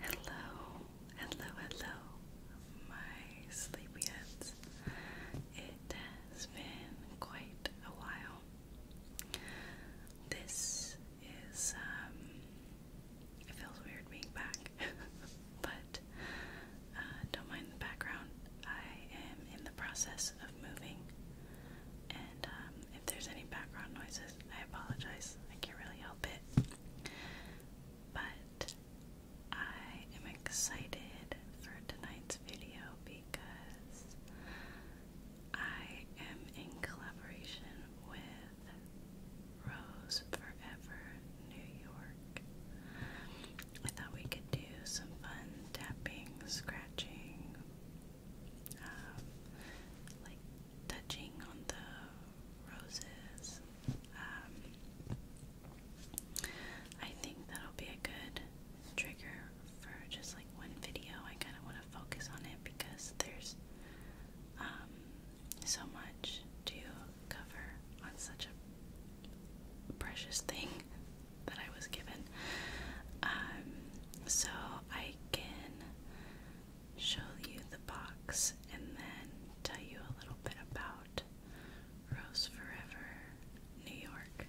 Hello, hello, hello, my sleepyheads. It has been quite a while. This is, um, it feels weird being back, but uh, don't mind the background. I am in the process of moving, and um, if there's any background noises, I apologize. I can't really help it. But I am excited for tonight's video because I am in collaboration with Rose Forever New York. I thought we could do some fun tapping, scratching, um, like touching on the roses. Um, I think that'll be a good trigger for just like one video. I kind of want to focus on it because there's um, so much to cover on such a precious thing that I was given. so I can show you the box and then tell you a little bit about Rose Forever New York.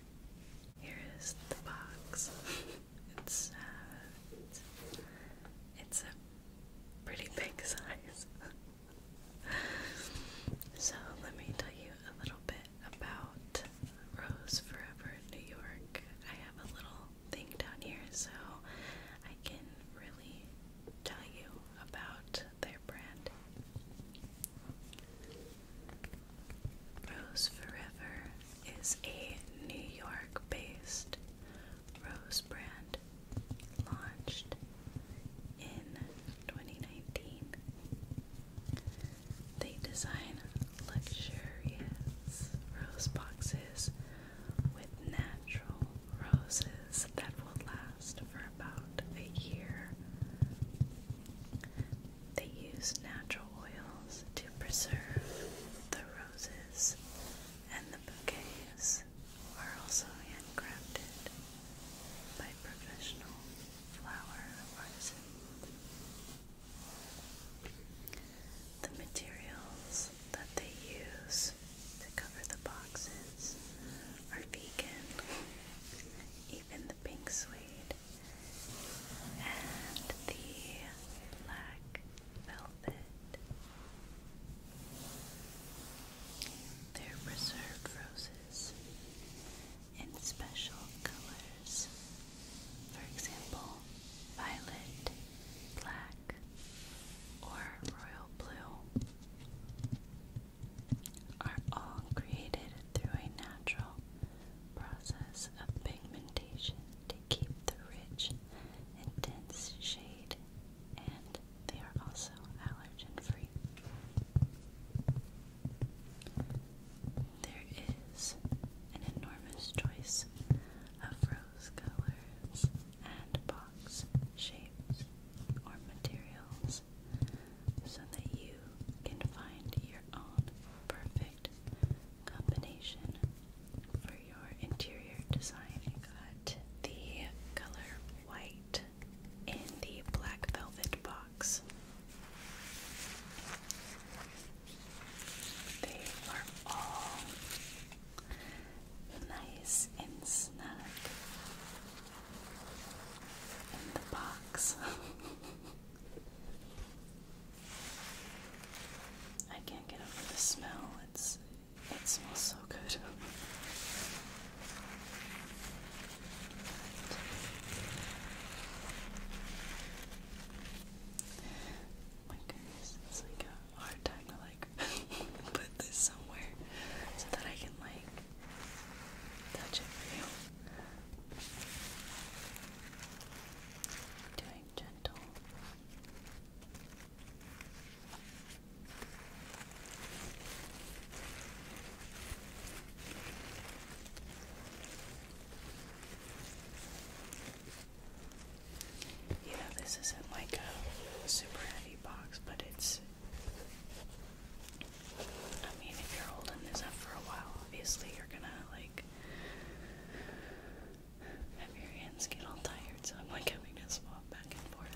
Here is the box. it's uh, it's a pretty big size. so let me tell you a little bit about Rose Forever New York. I have a little thing down here so I can really tell you about their brand. Rose Forever is a New York based rose brand launched in 2019. They design luxurious rose boxes with natural roses that will last for about a year. They use natural oils to preserve the roses, and the bouquets are also handcrafted by professional flower artisans. The materials that they use to cover the boxes are vegan, even the pink suede and the black velvet. They're preserved roses in special colors for example, violet, black, or royal blue are all created through a natural process of pigmentation to keep the rich, intense shade, and they are also allergen free. There is an enormous choice of rose colors and box shapes or materials so that you can find your own perfect combination for your interior design. got the color white in the black velvet box. They are all nice and snug in the box. I can't get over the smell. It's it smells so good. My goodness, it's like a hard time to like put this somewhere so that I can like touch it for you. Doing gentle. You know, this isn't like a super heavy box, but it's. I mean, if you're holding this up for a while, obviously you're gonna, like, have your hands get all tired, so I'm like having to swap back and forth.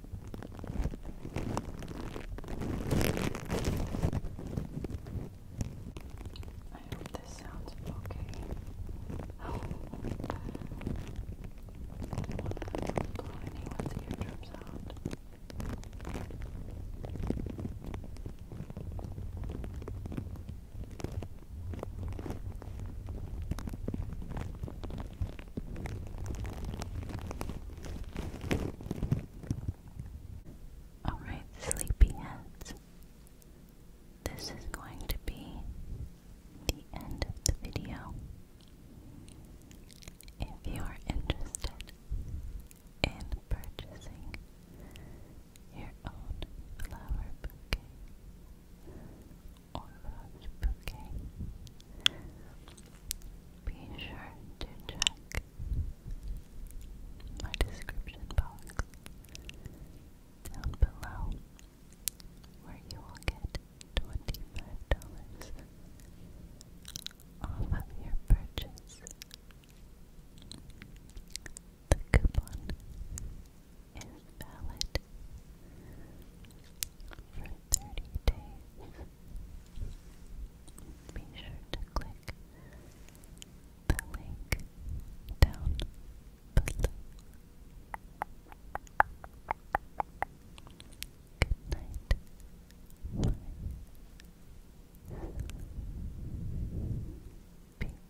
I hope this sounds okay. I don't want to blow out. Alright, sleepyheads, this is going to be the end of the video. If you are interested in purchasing your own flower bouquet be sure to check my description box down below where you will get $25 off of your purchase. The coupon is valid for 30 days be sure to click the link down below. Good night, my peace.